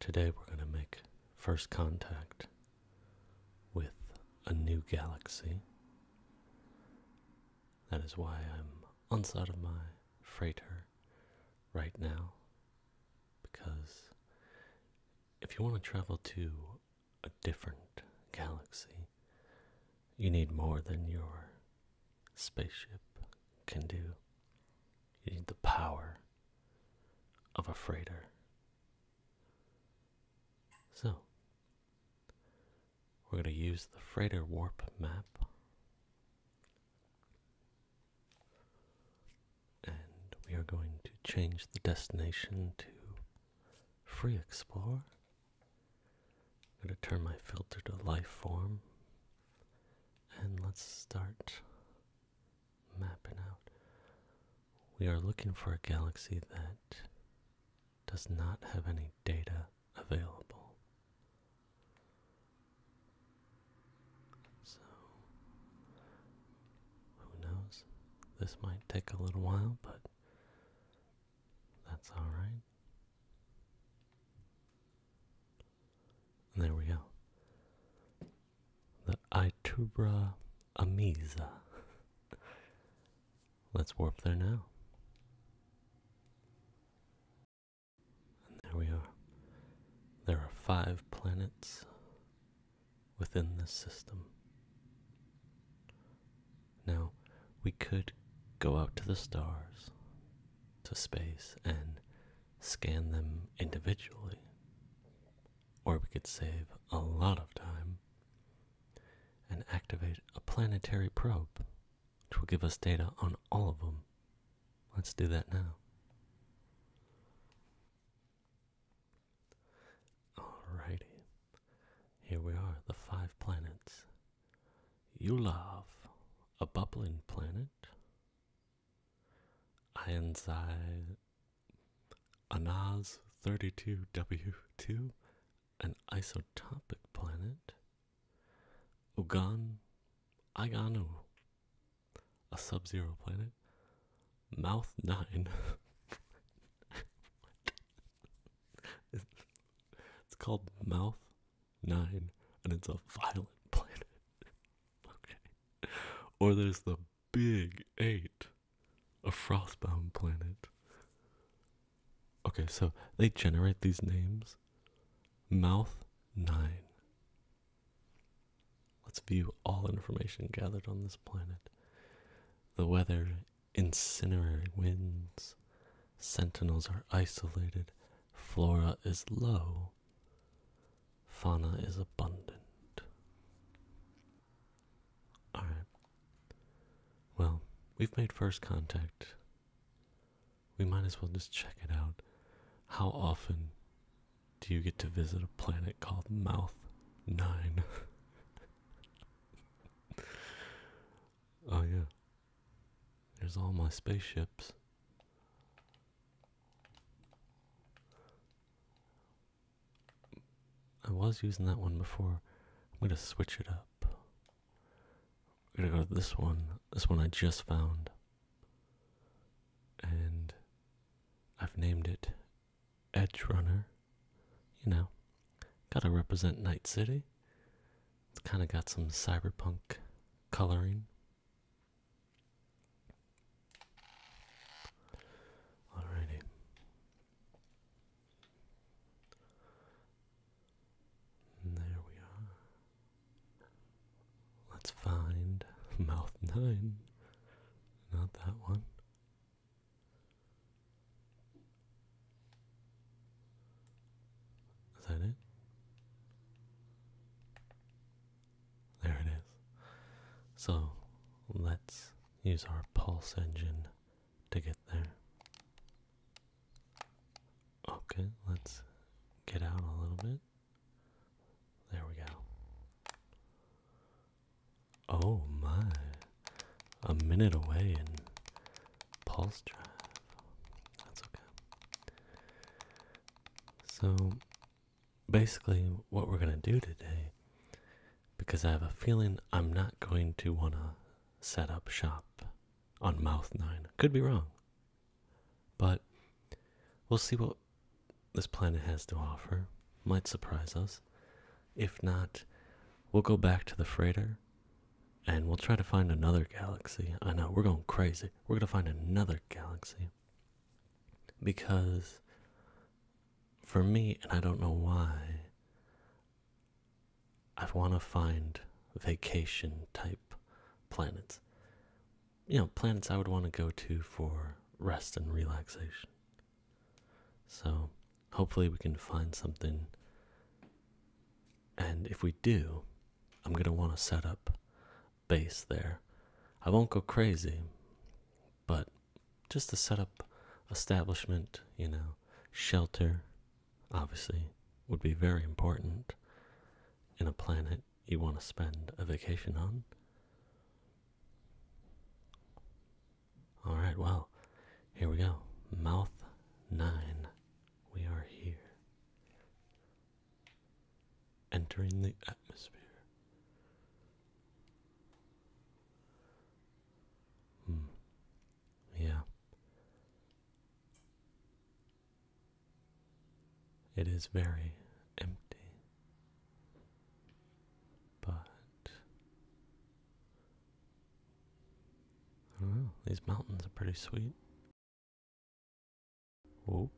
Today we're going to make first contact with a new galaxy. That is why I'm on side of my freighter right now because if you want to travel to a different galaxy, you need more than your spaceship can do. You need the power of a freighter. So, we're going to use the freighter warp map. And we are going to change the destination to Free Explore. I'm going to turn my filter to life form. And let's start mapping out. We are looking for a galaxy that does not have any data available. So, who knows? This might take a little while, but that's alright. There we go the Itubra Amiza. Let's warp there now. And there we are. There are five planets within this system. Now, we could go out to the stars, to space, and scan them individually. Or we could save a lot of time and activate a planetary probe, which will give us data on all of them. Let's do that now. Alrighty. Here we are, the five planets. You love a bubbling planet. Ironside Anaz 32W2, an isotopic planet. Ugan Aganu, a sub zero planet. Mouth 9. it's called Mouth 9, and it's a violent planet. Okay. Or there's the Big Eight, a frostbound planet. Okay, so they generate these names. Mouth 9. Let's view all information gathered on this planet the weather, incinerary winds. Sentinels are isolated. Flora is low. Fauna is abundant. Alright. Well, we've made first contact. We might as well just check it out. How often do you get to visit a planet called Mouth 9? oh, yeah. There's all my spaceships. I was using that one before. I'm gonna switch it up. We're gonna go to this one. This one I just found. And I've named it Edge Runner. You know, gotta represent Night City. It's kinda got some cyberpunk coloring. Alrighty. And there we are. Let's find mouth nine. Not that one. Is that it? There it is. So let's use our pulse engine to get there. Okay, let's get out a little bit. There we go. Oh my. A minute away in pulse drive. That's okay. So basically what we're going to do today, because I have a feeling I'm not going to want to set up shop on Mouth 9. Could be wrong. But we'll see what this planet has to offer. Might surprise us. If not, we'll go back to the freighter and we'll try to find another galaxy. I know, we're going crazy. We're going to find another galaxy because for me, and I don't know why, I want to find vacation type planets. You know, planets I would want to go to for rest and relaxation. So, hopefully, we can find something. And if we do, I'm going to want to set up Base there. I won't go crazy, but just to set up establishment, you know, shelter, obviously, would be very important in a planet you want to spend a vacation on. All right, well, here we go. Mouth 9. We are here entering the atmosphere. Mm. Yeah. It is very empty, but I don't know, these mountains are pretty sweet. Oh.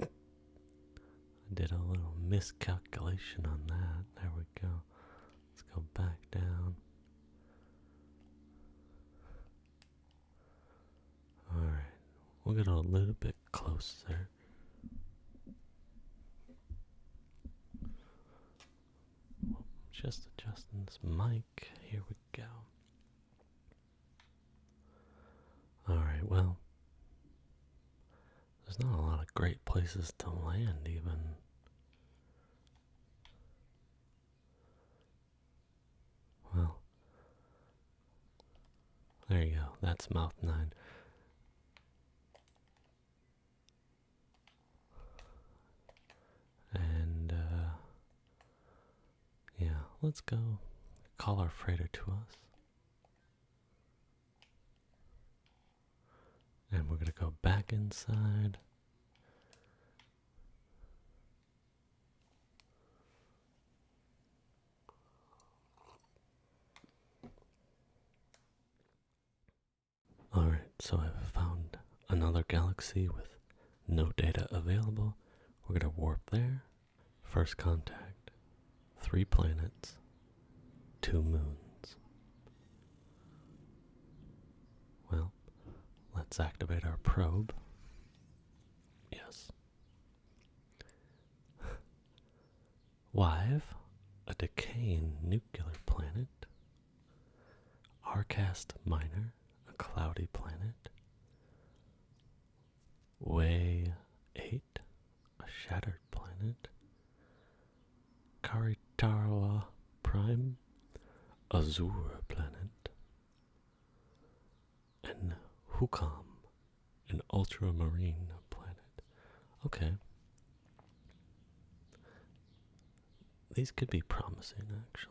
I did a little miscalculation on that. There we go. Let's go back down. Alright, we'll get a little bit closer. Just adjusting this mic. Here we go. Alright, well, there's not a lot of great places to land, even. Well, there you go, that's mouth nine. And, uh, yeah, let's go call our freighter to us. And we're going to go back inside. Alright, so I've found another galaxy with no data available. We're going to warp there. First contact. Three planets. Two moons. Well, let's activate our probe. Yes. Wive, a decaying nuclear planet. Arcast Minor, a cloudy planet. Way 8, a shattered planet. Karitarawa Prime, Azure planet. And Hukam, an ultramarine planet. Okay. These could be promising, actually.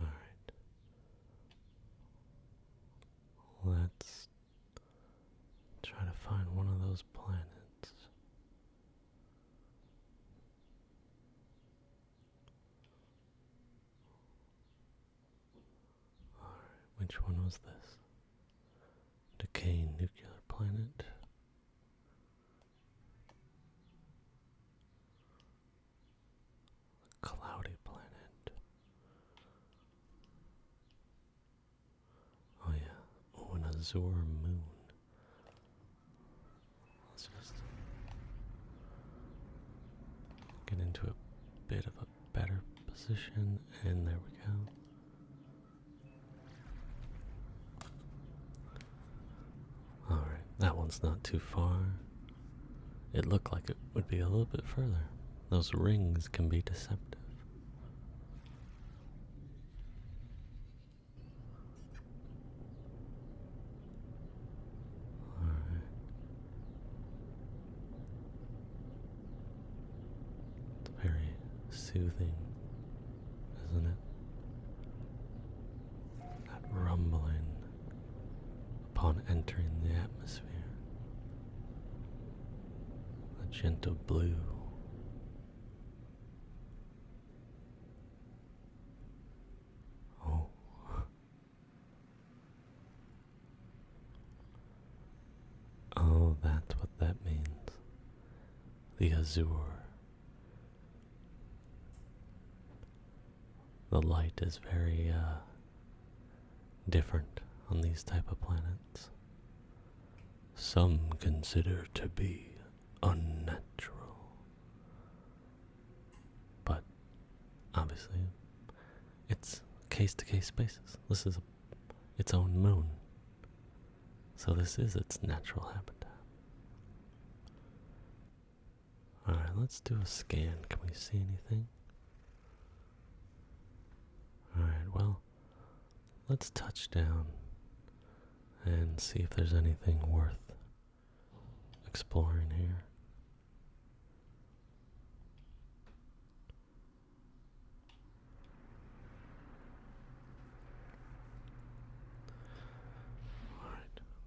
All right. Let's try to find one of those planets which one was this? Decaying nuclear planet. cloudy planet. Oh yeah. Oh, an azure moon. Let's just get into a bit of a better position, and there we go. Alright, that one's not too far. It looked like it would be a little bit further. Those rings can be deceptive. All right. It's very soothing, isn't it? That rumbling upon entering the atmosphere. A gentle blue. Oh, Oh, that's what that means. The azure. The light is very uh, different on these type of planets. Some consider to be unnatural. But obviously, it's case to case basis. This is its own moon. So this is its natural habitat. Alright, let's do a scan. Can we see anything? Alright, well, let's touch down and see if there's anything worth exploring here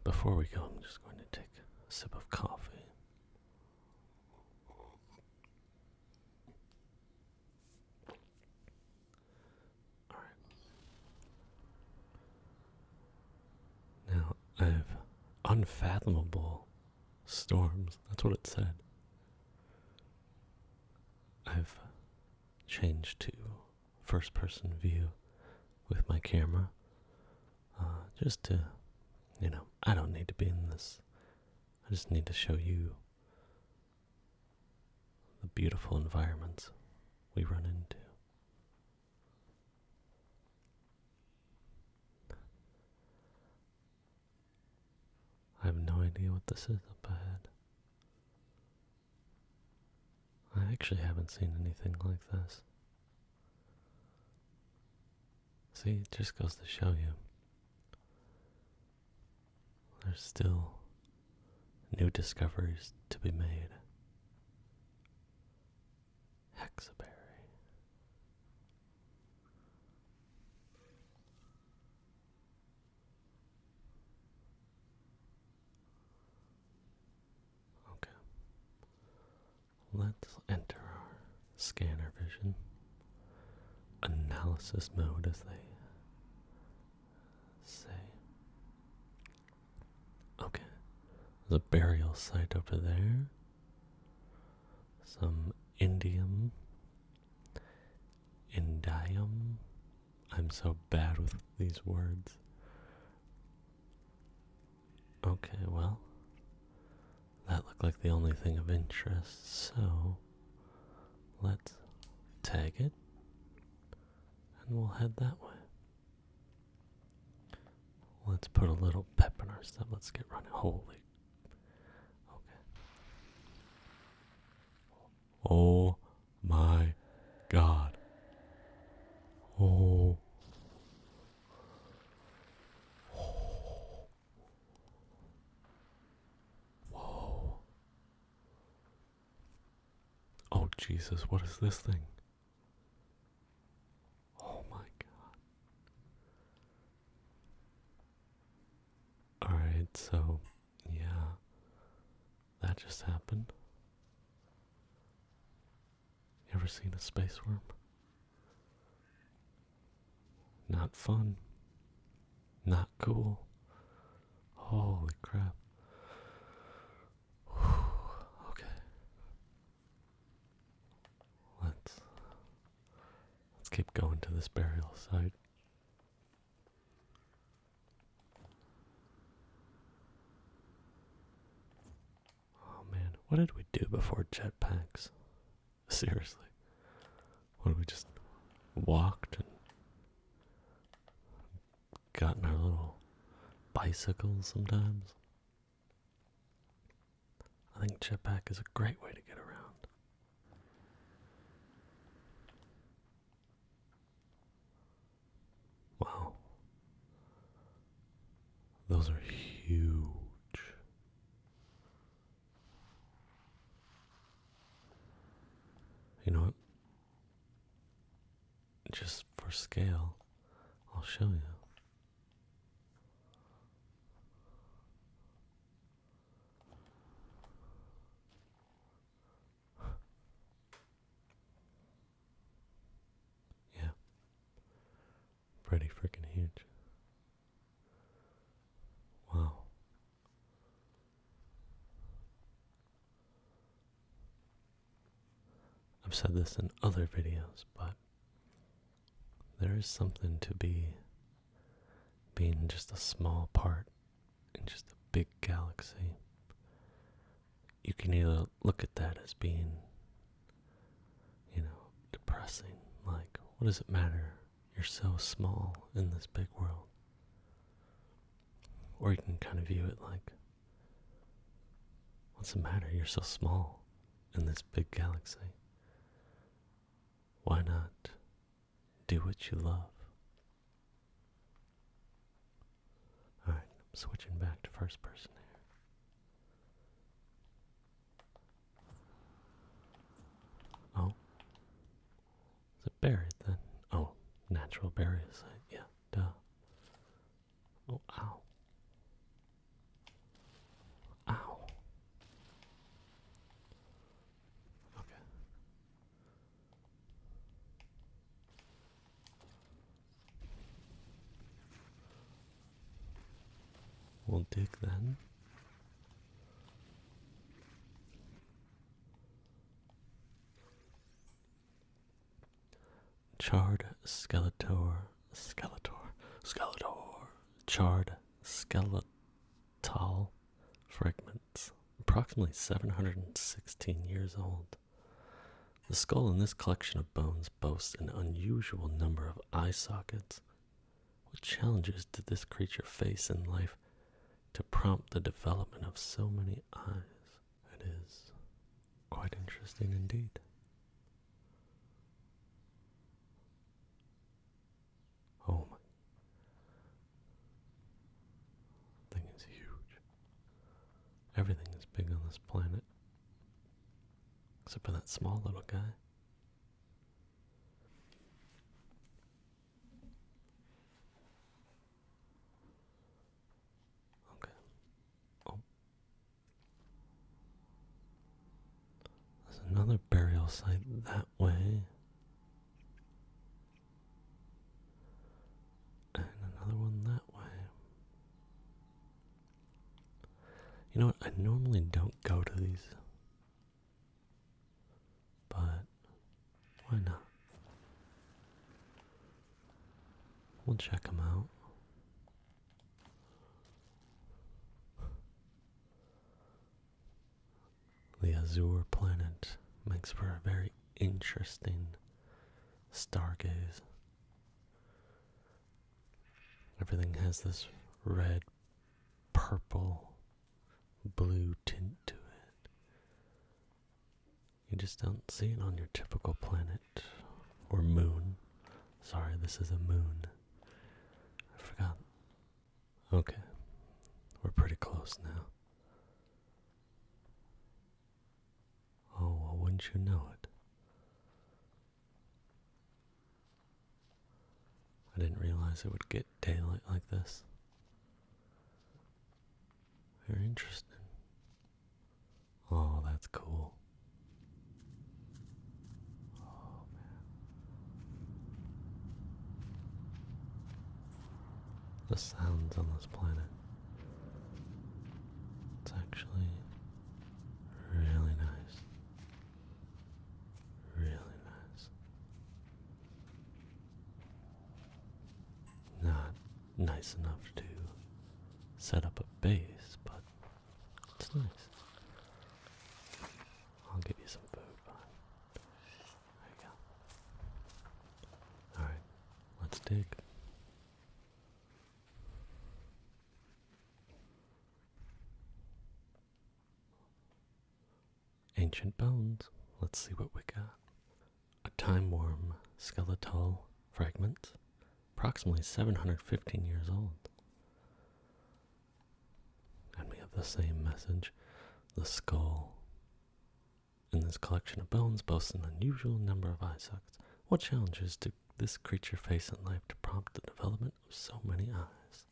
before we go, I'm just going to take a sip of coffee. All right. Now I've unfathomable storms. That's what it said. I've changed to first person view with my camera uh, just to, you know, I don't need to be in this. I just need to show you the beautiful environments we run into. I have no idea what this is up ahead. I actually haven't seen anything like this. See, it just goes to show you. There's still new discoveries to be made. Hexaberry. Okay. Let's enter our scanner vision analysis mode, as they say. Okay, there's a burial site over there some indium, indium. I'm so bad with these words. Okay, well, that looked like the only thing of interest, so let's tag it and we'll head that way. Let's put a little pep in our step. Let's get running. Holy Oh my god. Oh. oh. Oh Jesus, what is this thing? Oh my god. Alright, so, yeah. That just happened. You ever seen a space worm? Not fun. Not cool. Holy crap. Okay. Let's Let's keep going to this burial site. Oh man, what did we do before jetpacks? Seriously. What did we just walked and gotten our little bicycles sometimes? I think jetpack is a great way to get around. Wow. Those are huge. You know what? Just for scale, I'll show you. Yeah. Pretty freaking huge. Wow. I've said this in other videos, but there is something to be being just a small part in just a big galaxy. You can either look at that as being, you know, depressing. Like, what does it matter? You're so small in this big world. Or you can kind of view it like, what's the matter? You're so small in this big galaxy. Why not do what you love? Alright, I'm switching back to first person there. Oh. Is it buried then? Oh, natural burial Yeah, duh. Oh, ow. Ow. Okay. We'll dig then. Charred Skeletor, Skeletor, Skeletor, Charred skeletal fragments, approximately 716 years old. The skull in this collection of bones boasts an unusual number of eye sockets. What challenges did this creature face in life to prompt the development of so many eyes? It is quite interesting indeed home. Thing is huge. Everything is big on this planet. Except for that small little guy. Okay. Oh. There's another burial site that way. And another one that way. You know what? I normally don't go to these. But why not? We'll check them out. The azure planet makes for a very interesting stargaze. Everything has this red, purple, blue tint to it. You just don't see it on your typical planet or moon. Sorry, this is a moon. I forgot Okay, we're pretty close now. Oh, wouldn't you know it? I didn't realize it would get daylight like this. Very interesting. Oh, that's cool. Oh, the sounds on this planet. It's actually really nice. Really nice. Not nice enough to set up a base, but it's nice. I'll give you some food. Fine. There you go. Alright, let's dig. Ancient bones. Let's see what we got. A time worm skeletal fragment, approximately 715 years old. And we have the same message. The skull in this collection of bones boasts an unusual number of eye sockets. What challenges did this creature face in life to prompt the development of so many eyes?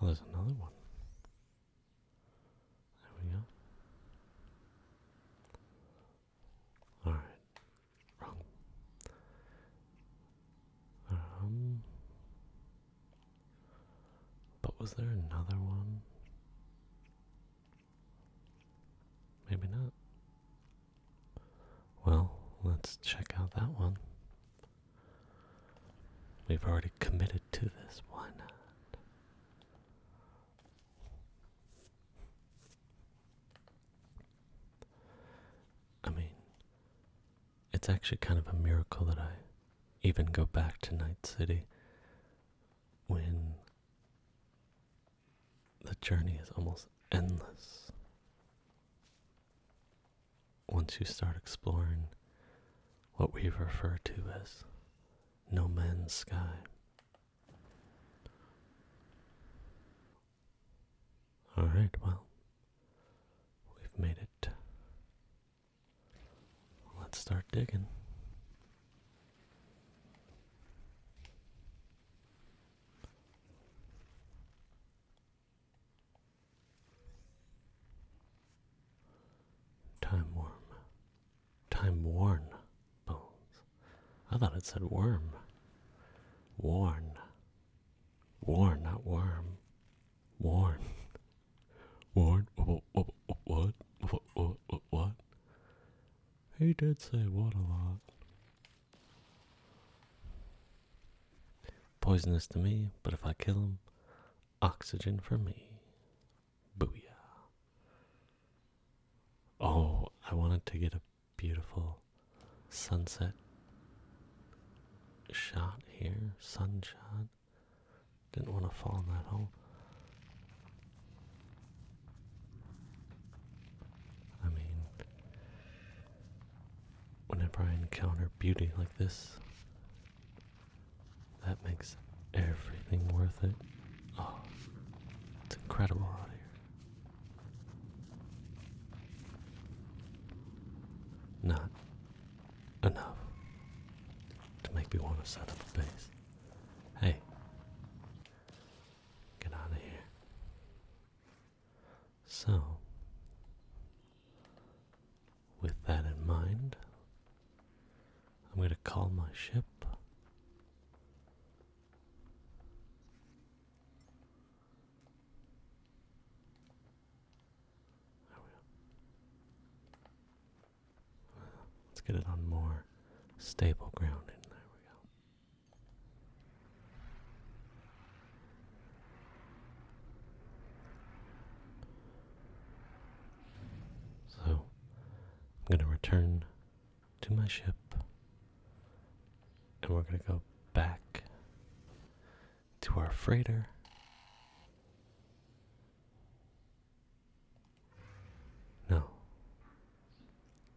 Oh, there's another one. There we go. Alright. Wrong. Um But was there another one? Maybe not. Well, let's check out that one. We've already committed to this, why not? I mean, it's actually kind of a miracle that I even go back to Night City when the journey is almost endless. Once you start exploring what we refer to as no man's sky, Alright, well, we've made it. Let's start digging. Time warm Time worn bones. I thought it said worm. Worn. Worn, not worm. Worn. Worn. What? What? What? What? What? He did say what a lot. Poisonous to me, but if I kill him, oxygen for me. Booyah. Oh, I wanted to get a beautiful sunset shot here. Sunshot. Didn't want to fall in that hole. I mean, whenever I encounter beauty like this, that makes everything worth it. Oh, it's incredible out here. Not enough to make me want to set up a base. Hey, get out of here. So, with that in mind, I'm going to call my ship let's get it on more stable ground and there we go. So I'm going to return to my ship. And we're going to go back to our freighter. No.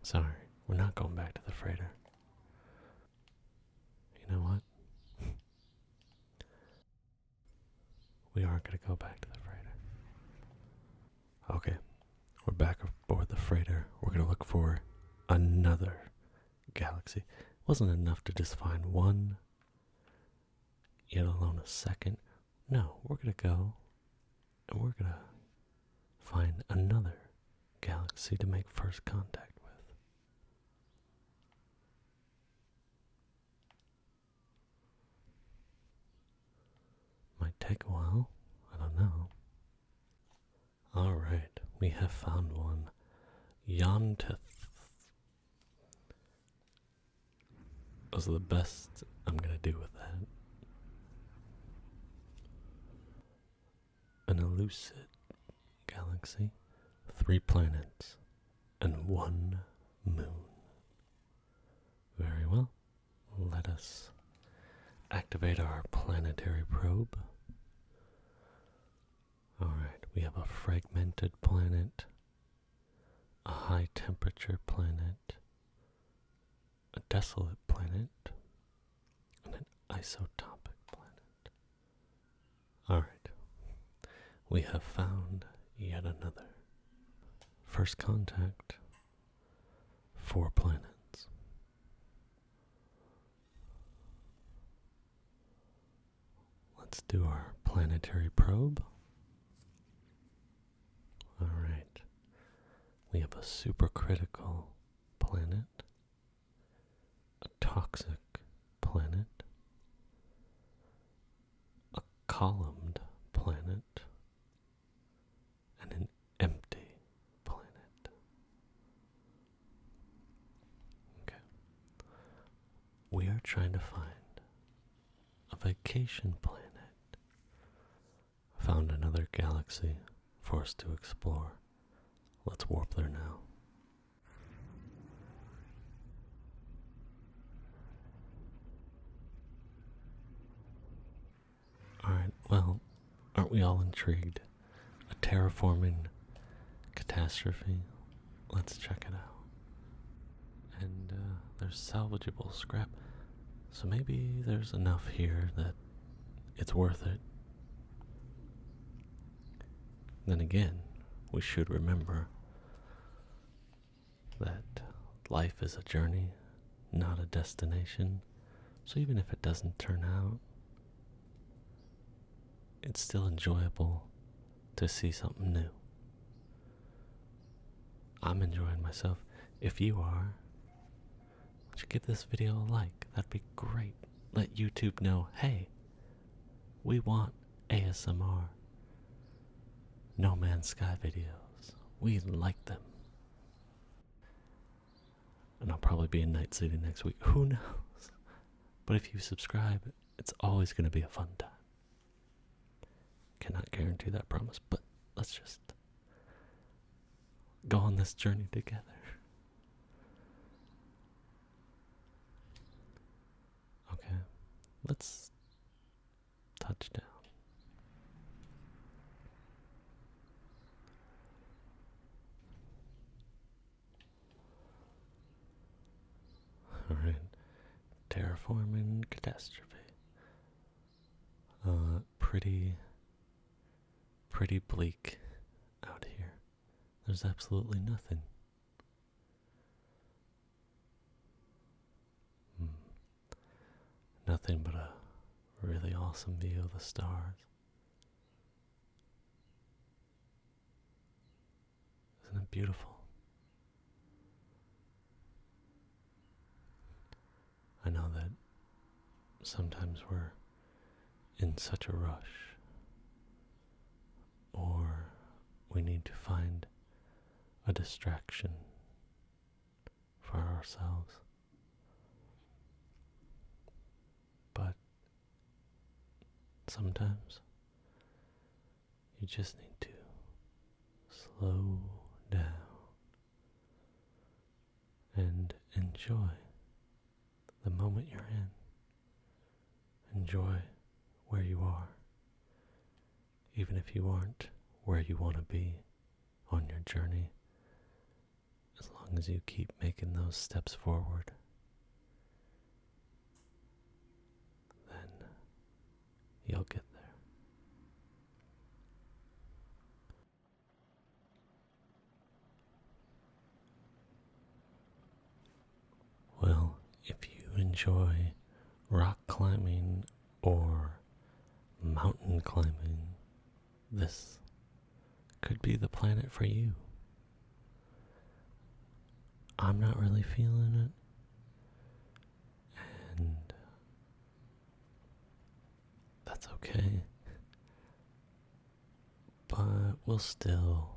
Sorry, we're not going back to the freighter. You know what? we are not going to go back to the freighter. Okay, we're back aboard the freighter. We're gonna look for another galaxy. wasn't enough to just find one, yet alone a second. No, we're gonna go and we're gonna find another galaxy to make first contact with. Might take a while, I don't know. Alright, we have found one. Yontith was the best I'm gonna do with that. An elusive galaxy, three planets, and one moon. Very well. Let us activate our planetary probe. Alright, we have a fragmented planet, a high temperature planet, a desolate planet, and an isotopic planet. Alright, we have found yet another. First contact four planets. Let's do our planetary probe. All right, we have a supercritical planet, a toxic planet, a columned planet, and an empty planet. Okay. We are trying to find a vacation planet. Found another galaxy for us to explore. Let's warp there now. Alright, well, aren't we all intrigued? A terraforming catastrophe? Let's check it out. And uh, there's salvageable scrap, so maybe there's enough here that it's worth it. Then again, we should remember that life is a journey, not a destination. So even if it doesn't turn out, it's still enjoyable to see something new. I'm enjoying myself. If you are, would you give this video a like? That'd be great. Let YouTube know, hey, we want ASMR. No Man's Sky videos. We like them. And I'll probably be in Night City next week. Who knows? But if you subscribe, it's always going to be a fun time. Cannot guarantee that promise, but let's just go on this journey together. Okay, let's Touchdown. Alright. Terraforming catastrophe. Uh pretty pretty bleak out here. There's absolutely nothing. Hmm. Nothing but a really awesome view of the stars. Isn't it beautiful? I know that sometimes we're in such a rush, or we need to find a distraction for ourselves. But sometimes you just need to slow down and enjoy the moment you're in. Enjoy where you are even if you aren't where you want to be on your journey, as long as you keep making those steps forward, then you'll get there. Well, if you enjoy rock climbing or mountain climbing, this could be the planet for you. I'm not really feeling it, and that's okay. But we'll still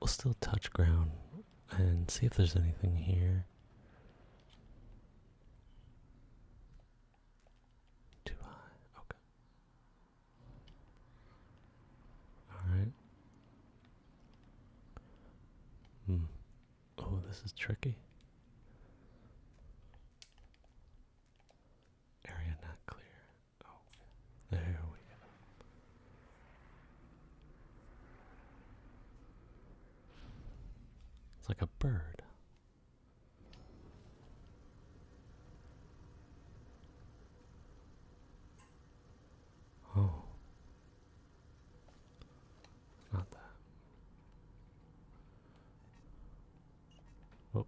we'll still touch ground and see if there's anything here. Too high. Okay. All right. Hmm. Oh, this is tricky. Area not clear. Oh, there we go. It's like a bird. Oh, not that. Oh,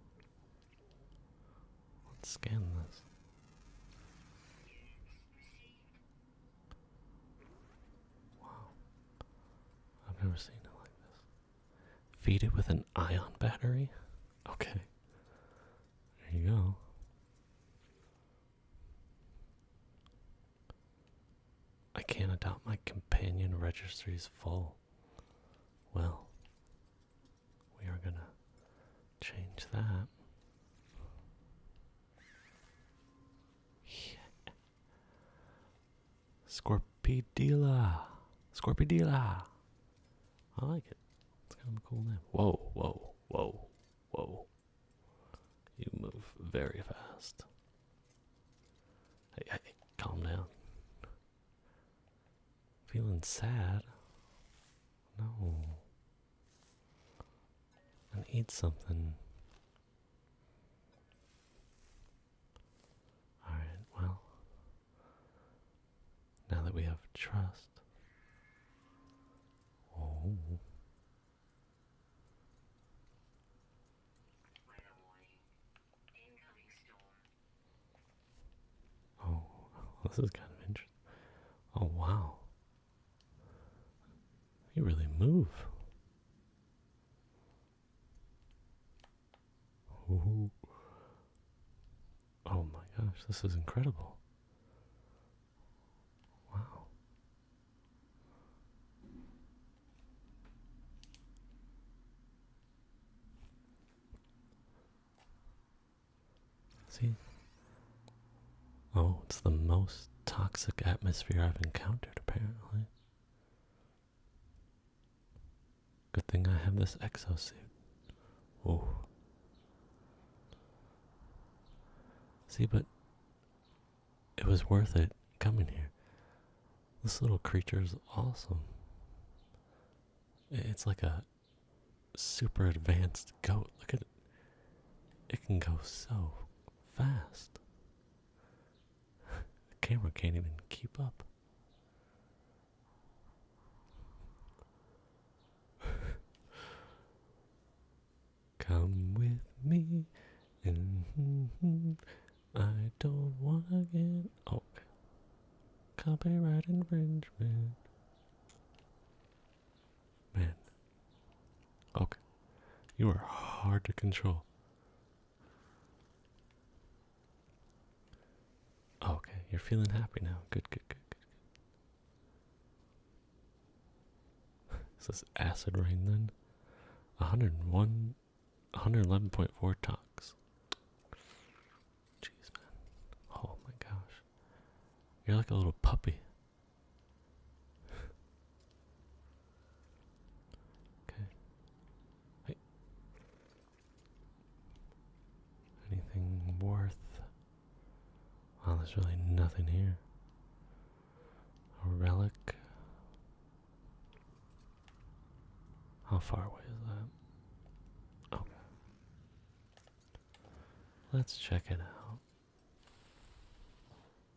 let's scan this. Wow. I've never seen it like this. Feed it with an ion battery? Okay. There you go. I can't adopt my companion registries full. Well, we are going to change that. Yeah. Scorpidilla. Scorpidilla. I like it. It's kind of a cool name. Whoa, whoa, whoa, whoa. You move very fast. Hey, hey, calm down. Feeling sad? No and eat something. Alright, well, now that we have trust. Oh. Oh, this is kind of interesting. Oh, wow. You really move. Oh, oh my gosh, this is incredible. Wow. See, Oh, it's the most toxic atmosphere I've encountered, apparently. Good thing I have this exosuit. Whoa. See, but it was worth it coming here. This little creature is awesome. It's like a super advanced goat. Look at it. It can go so fast. the camera can't even keep up. Come with me, and I don't wanna get oh, copyright infringement. Man, Okay. You are hard to control. Okay, you're feeling happy now. Good, good, good, good. Is this acid rain then? 101, 111.4 tox. Jeez, man. Oh my gosh. You're like a little puppy okay. Hey. Anything worth? Well, there's really nothing here. A relic. How far away is that? Okay. Oh. Let's check it out.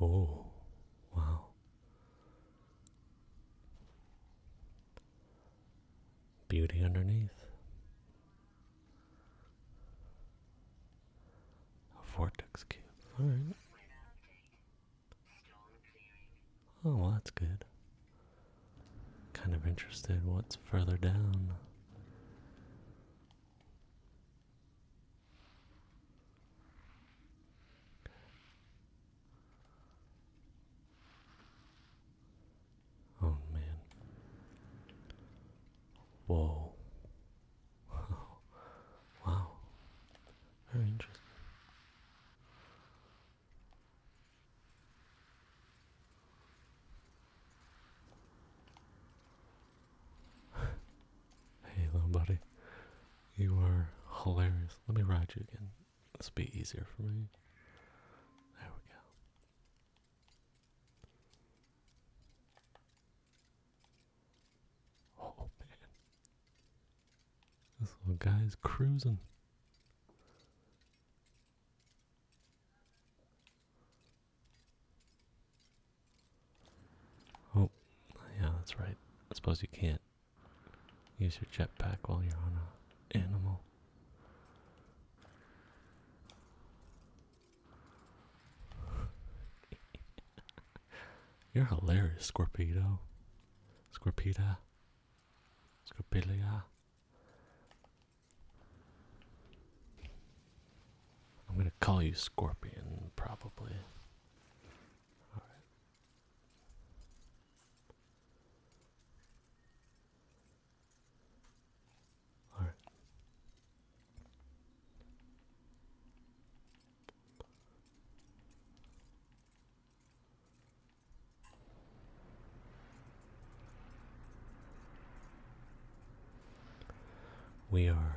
Oh, wow. Beauty underneath. A vortex cube. Alright. Oh, well, that's good. Kind of interested what's further down. Oh man. Whoa. Wow. Very interesting. hey, little buddy. You are hilarious. Let me ride you again. This will be easier for me. There we go. Oh man. This little guy's cruising. Oh, yeah, that's right. I suppose you can't use your jetpack while you're on a animal. You're hilarious, Scorpedo. Scorpita, Scorpilia. I'm gonna call you Scorpion, probably. All right. All right. We are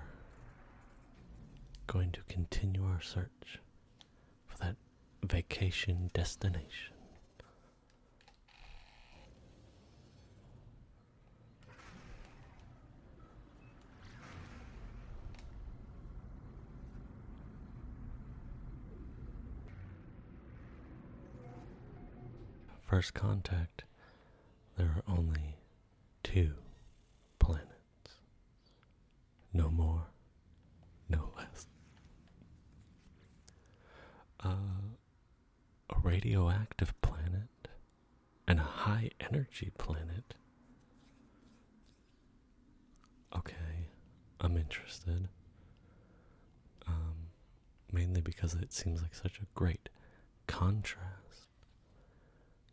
going to continue our search for that vacation destination. First Contact, there are only two planets. No more, no less. a radioactive planet and a high energy planet. Okay, I'm interested. Um, mainly because it seems like such a great contrast.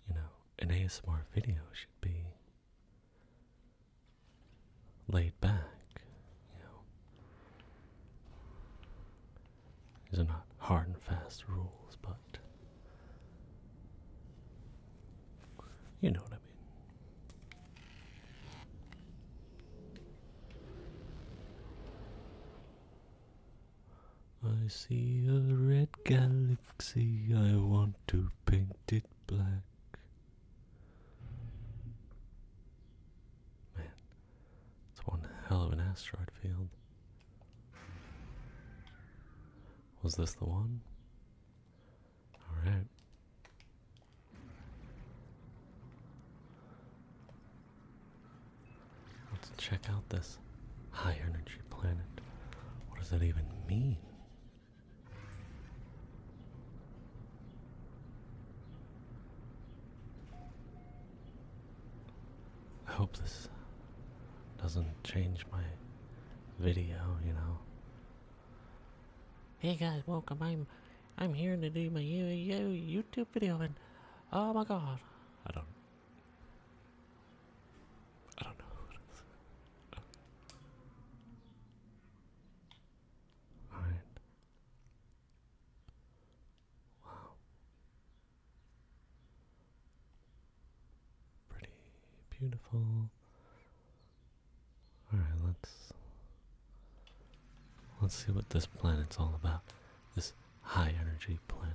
You know, an ASMR video should be laid back, you know. There's not hard and fast rules, but you know what I mean. I see a red galaxy, I want to paint it black. Man, it's one hell of an asteroid field. Was this the one? Alright. Let's check out this high energy planet. What does that even mean? I hope this doesn't change my video, you know. Hey guys, welcome. I'm I'm here to do my YouTube video and oh my god. I don't I don't know Alright. Wow. Pretty beautiful. Alright, let's Let's see what this planet's all about. This high energy planet.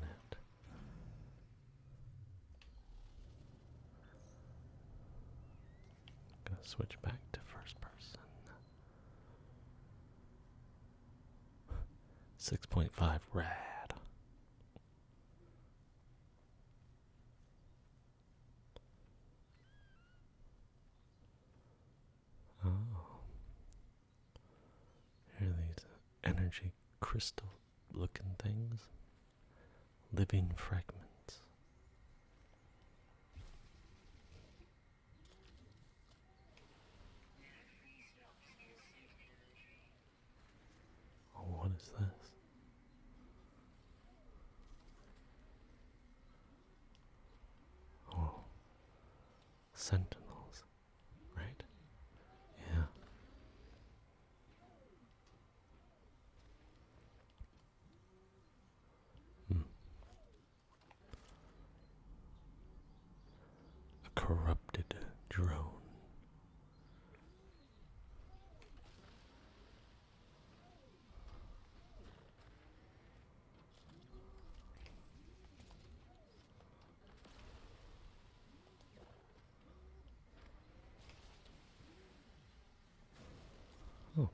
gonna switch back to first person. 6.5 rad. Oh. Here are these energy crystal looking things. Living fragments. Oh, what is this? or oh. sentinels, right? Yeah. Hmm. A corrupted drone. Oh,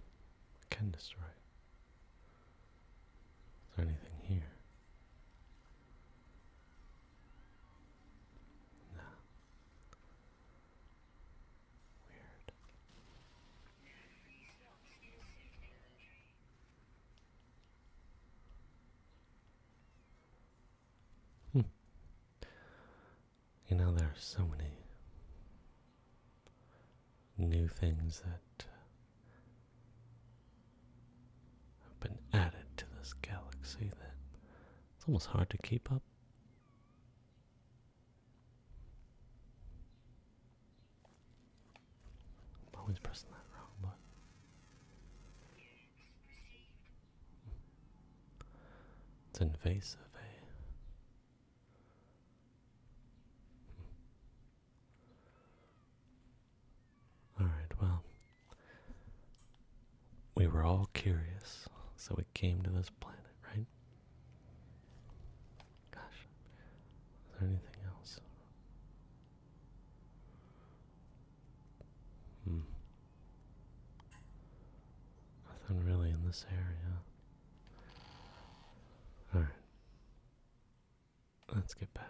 I can destroy. Is there anything here? No. Weird. Hmm. You know, there are so many new things that uh, have been added to this galaxy that it's almost hard to keep up always pressing that wrong button. It's invasive, eh? Alright, well, we were all curious, so we came to this planet, right? Gosh, was there anything else? Hmm. Nothing really in this area. Alright. Let's get back.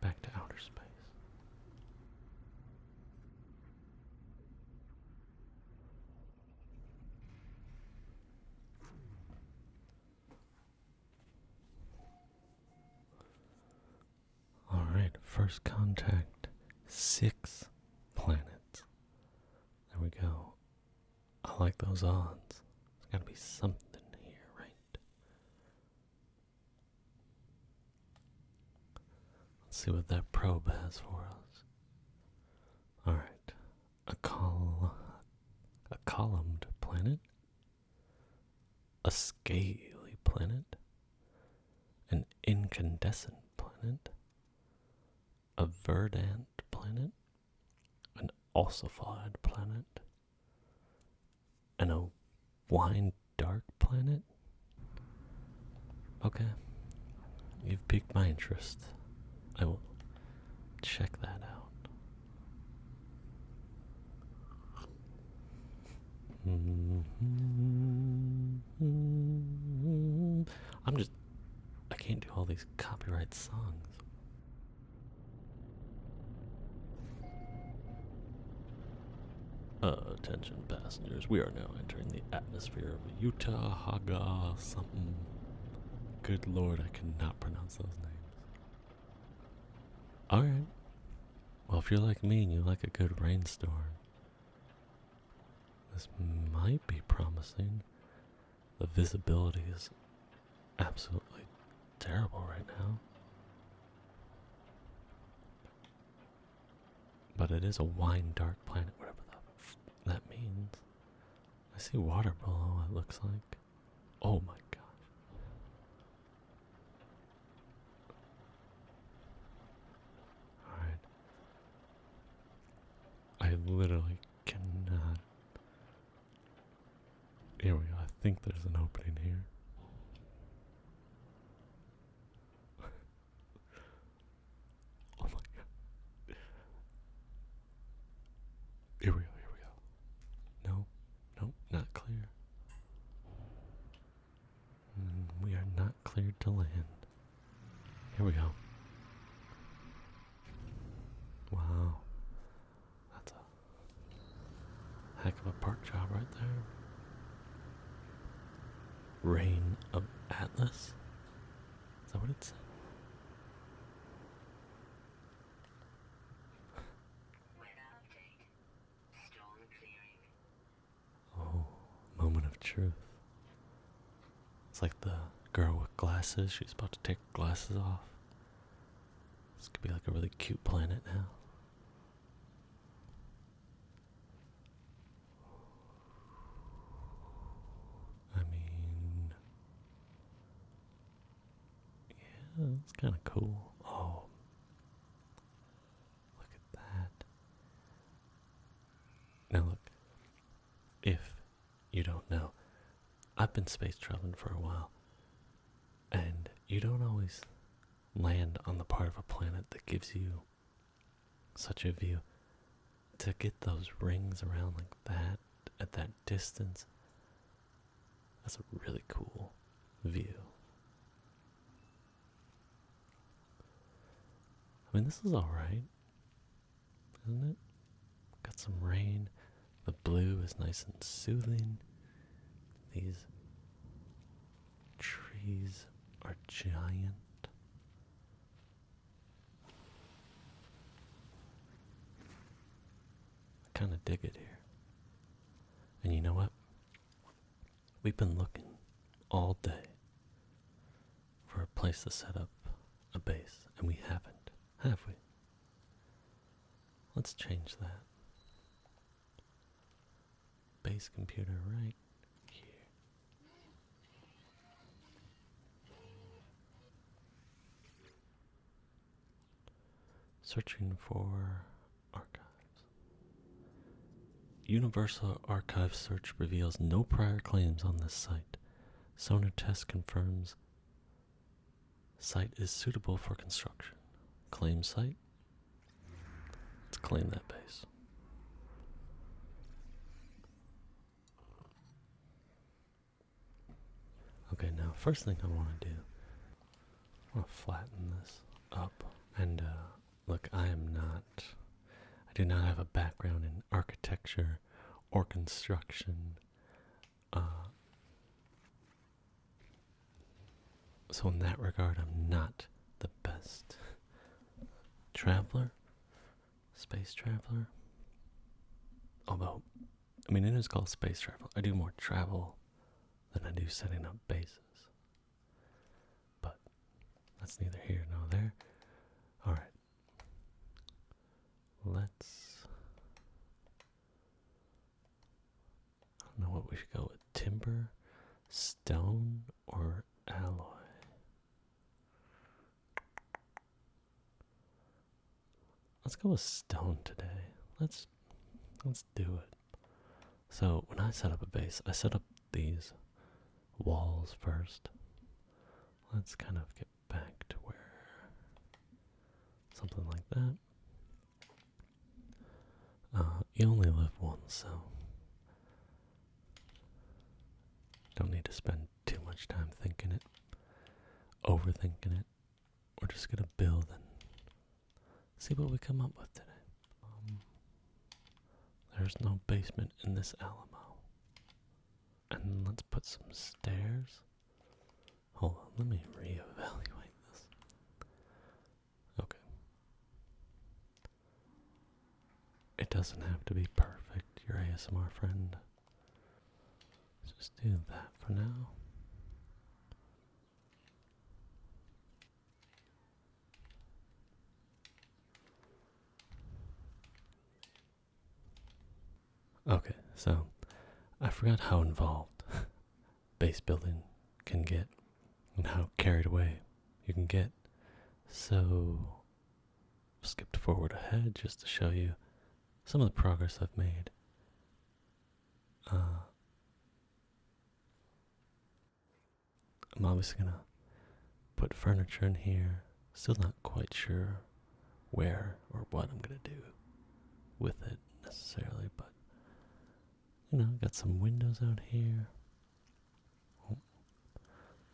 Back to outer space. All right, first contact six planets. There we go. I like those odds. There's got to be something here, right? Let's see what that probe has for us. All right, a col a columned planet, a scaly planet, an incandescent planet, a verdant planet, an ossified planet, and a wine dark planet. Okay, you've piqued my interest. I will Check that out. Mm-hmm. I'm just. I can't do all these copyright songs. Uh, attention passengers, we are now entering the atmosphere of Utah Haga something. Good lord, I cannot pronounce those names. Alright. Well, if you're like me and you like a good rainstorm, this might be promising. The visibility is absolutely terrible right now. But it is a wine dark planet, whatever that means. I see water below, it looks like. Oh my god! Alright. I literally cannot. Here we go. I think there's an opening here. Oh my god. Here we go, here we go. No, no, not clear. Mm, we are not cleared to land. Here we go. Wow. That's a heck of a park job right there. Rain of Atlas? Is that what it said? Oh, moment of truth. It's like the girl with glasses, she's about to take glasses off. This could be like a really cute planet now. I mean, yeah, that's kind of cool. Oh, look at that. Now, look, if you don't know, I've been space traveling for a while, and you don't always land on the part of a planet that gives you such a view to get those rings around like that at that distance, that's a really cool view. I mean, this is alright, isn't it? Got some rain. The blue is nice and soothing. These trees are giant. I kind of dig it here. And you know what? We've been looking all day for a place to set up a base, and we haven't, have we? Let's change that. Base computer right here. Searching for archives. Universal Archive search reveals no prior claims on this site. Sonar test confirms site is suitable for construction. Claim site. Let's claim that base. Okay, now first thing I want to do, I want to flatten this up. And uh, look, I am not, I do not have a background in architecture or construction. Uh, so in that regard, I'm not the best traveler Space Traveler. Although, I mean, it is called Space Travel. I do more travel than I do setting up bases. But that's neither here nor there. Alright. Let's. I don't know what we should go with timber, stone, or alloy. Let's go with stone today. Let's let's do it. So when I set up a base, I set up these walls first. Let's kind of get back to where something like that. Uh, you only live once, so don't need to spend too much time thinking it, overthinking it. We're just gonna build and see what we come up with today. Um, there's no basement in this Alamo. And let's put some stairs. Hold on, let me reevaluate this. Okay. It doesn't have to be perfect, your ASMR friend. Let's just do that for now. Okay, so I forgot how involved base building can get and how carried away you can get. So skipped forward ahead just to show you some of the progress I've made. Uh, I'm obviously going to put furniture in here. Still not quite sure where or what I'm going to do with it necessarily, but you know, got some windows out here. Oh,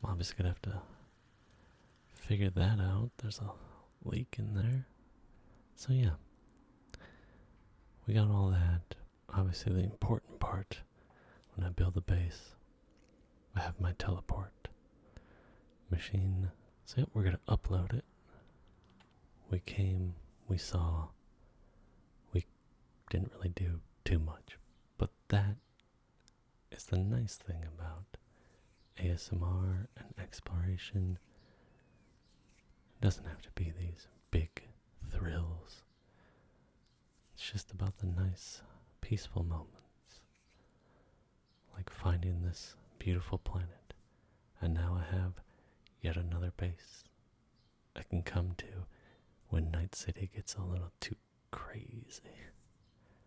I'm obviously going to have to Figure that out. There's a leak in there. So, yeah, we got all that. Obviously, the important part when I build the base, I have my teleport machine. So, we're going to upload it. We came, we saw, we didn't really do too much, but that it's the nice thing about ASMR and exploration. It doesn't have to be these big thrills. It's just about the nice, peaceful moments. Like finding this beautiful planet. And now I have yet another base I can come to when Night City gets a little too crazy.